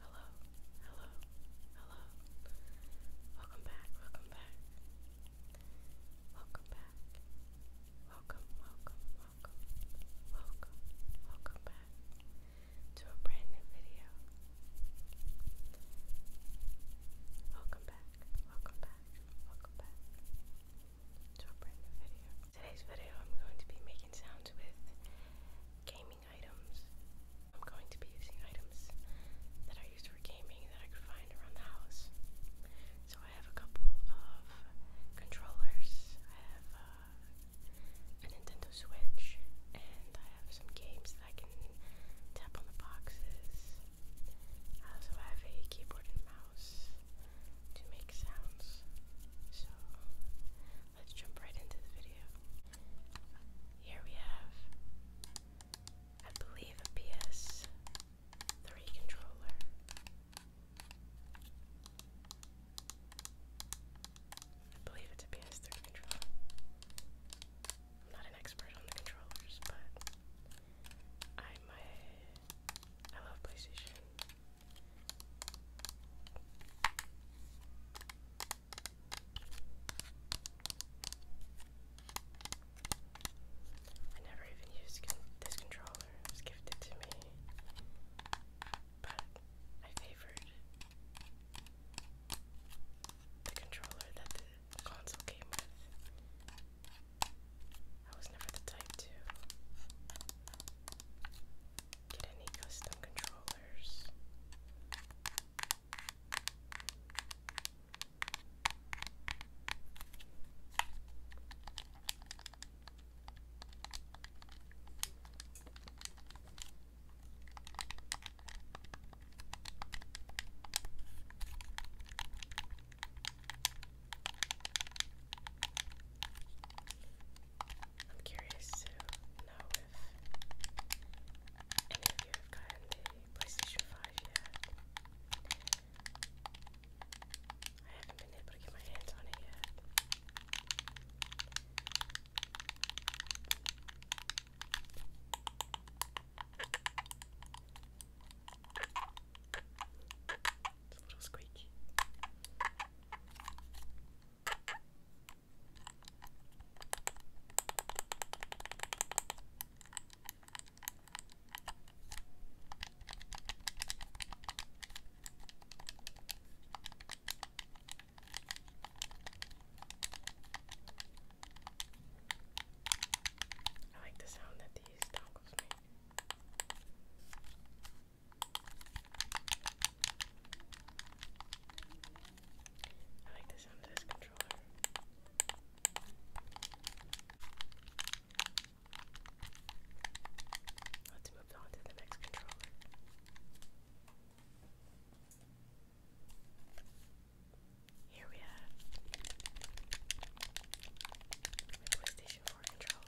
Hello, hello, hello. Welcome back, welcome back. Welcome back. Welcome, welcome, welcome, welcome, welcome back to a brand new video. Welcome back, welcome back, welcome back to a brand new video. Today's video I'm going to be making sounds with gaming items. I'm going to be using items that I use for gaming that I can find around the house. So I have a couple of controllers. I have uh, Nintendo Switch and I have some games that I can tap on the boxes. I also have a keyboard and mouse to make sounds. So let's jump right into the video. Here we have, I believe, a PS3 controller. I believe it's a PS3 controller. I'm not an expert on the controllers, but I'm a, I love PlayStation. I never even used this controller. It was gifted to me. But I favored the controller that the console came with. I was never the type to get any custom controllers. I'm curious to know if you have gotten the PlayStation 5 yet. I haven't been able to get my hands on it yet. a little squeaky. I like the sound that these dongles make. I like the sound of this controller. Let's move on to the next controller. Here we have PlayStation 4 controller.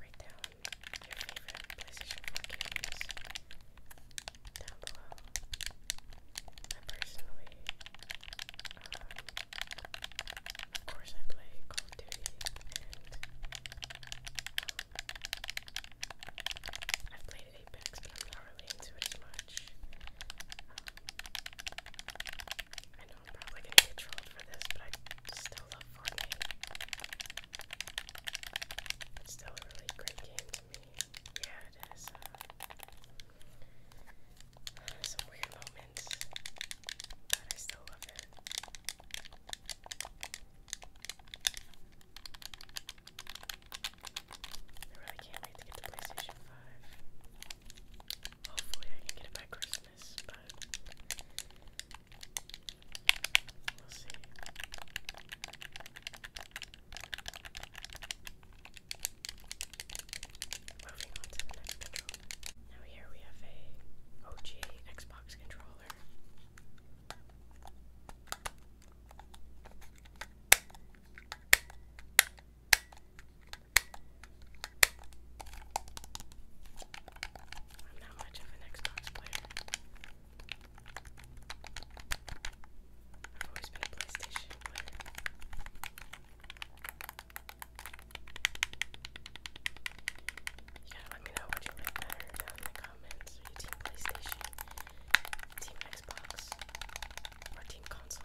Write down your favorite PlayStation 4 games down below. I personally, um, of course, I play Call of Duty, and um, I've played Apex, but I'm not really into it as much. Um, I know I'm probably gonna get trolled for this, but I still love Fortnite. It's still a really great game to me. Yeah, it is. Uh, some weird moments, but I still love it. I really can't wait to get the PlayStation 5. Hopefully, I can get it by Christmas, but we'll see. Moving on to the next controller. Now here we have a OG Xbox controller. I'm not much of an Xbox player. I've always been a PlayStation player. You gotta let me know what you like better down in the comments. Are you team PlayStation, team Xbox, or team console?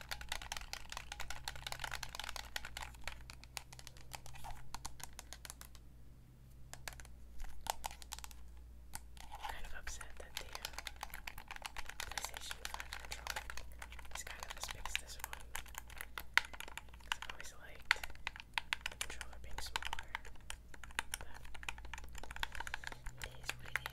kind of upset that the PlayStation 5 controller is kind of as big as this one. Because always liked the controller being smaller. it is what it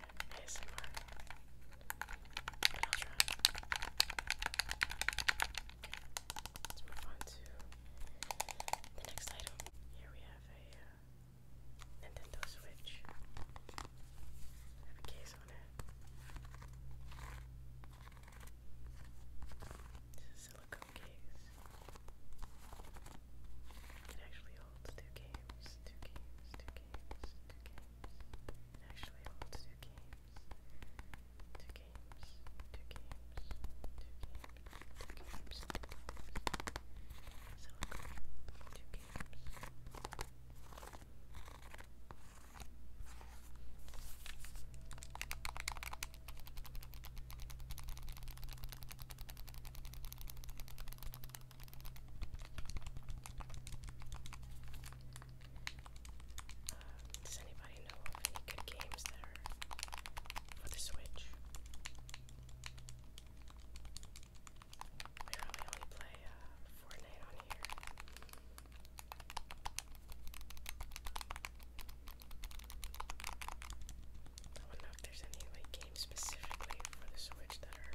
Let's move on to the next item. Here we have a uh, Nintendo Switch. have a case on it. It's a silicone case. It actually holds two games, two games, two games games, two games. It actually holds two games. Two games, two games, two games, two games, So we'll go two games. Two games. Um, does anybody know of any good games that are for the Switch? We really only play uh, Fortnite on here. I wonder if there's any like games specifically for the Switch that are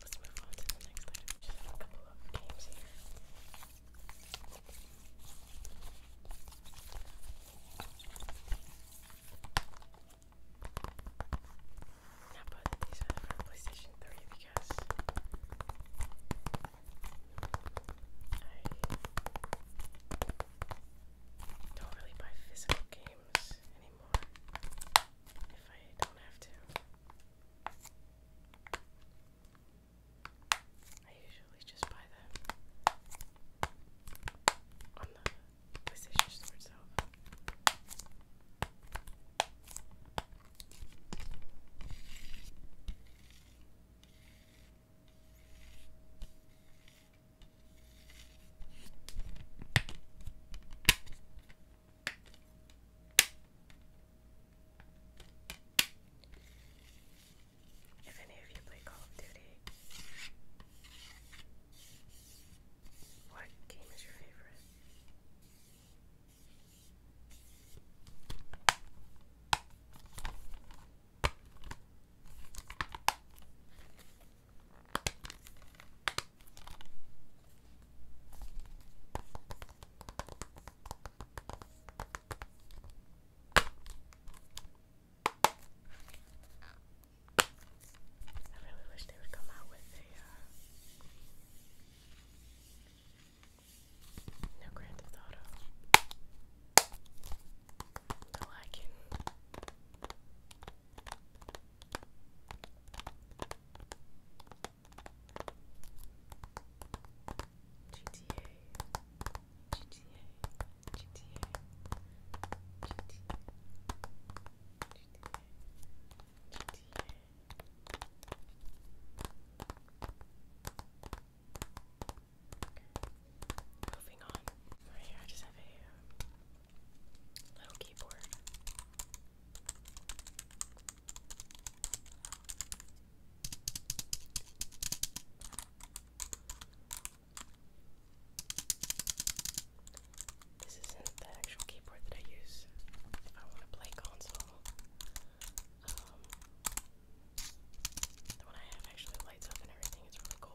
Let's move on to the next Just a couple of games here. Now, but these are PlayStation 3 because don't really buy physical games anymore if I don't have to. I usually just buy them on the PlayStation Store if any of you play Call of Duty, what game is your favorite? I really wish they would come out with a uh, no Grand Theft Auto. I like it. GTA, GTA, GTA, GTA, GTA, GTA. Moving on. Right here, I just have a um, little keyboard. This isn't the actual keyboard that I use. If I want to play console, um, the one I have actually lights up and everything, it's really cool.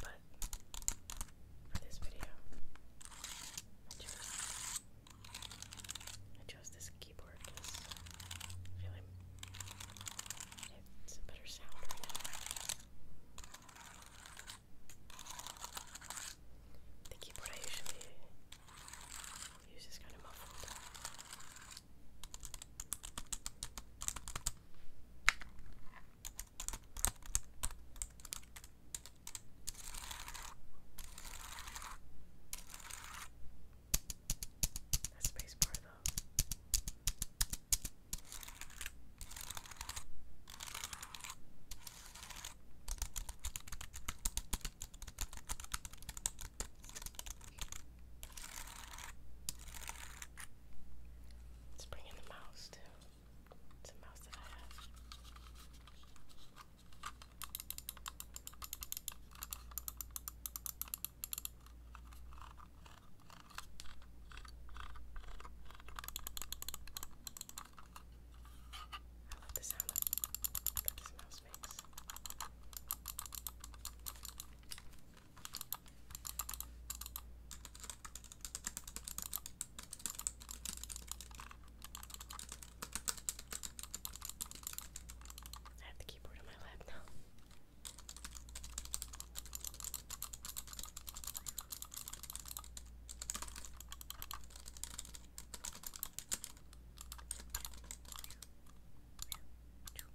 But for this video, I chose this keyboard because I feel like it's a better sound right now. keyboard I usually use is kind of muffled. That space bar though. Let's the mouse too. It's a mouse that I have. I love the sound that this mouse makes. I have the keyboard on my lap now. Two.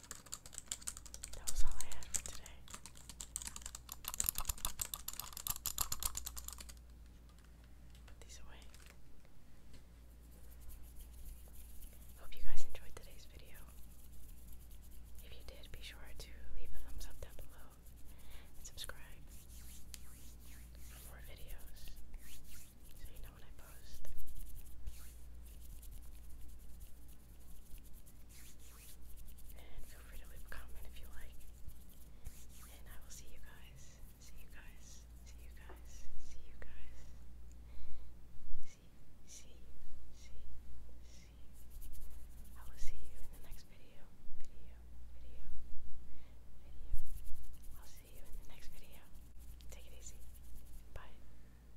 That was all I had for today. Put these away. Hope you guys enjoyed today's video. If you did, be sure to leave a thumbs up down below and subscribe for more videos so you know when I post. And feel free to leave a comment if you like. And I will see you guys. See you guys. See you guys. See you guys. See, see, see, see. I will see you in the next video. Video, video, video. I'll see you in the next video. Take it easy. Bye.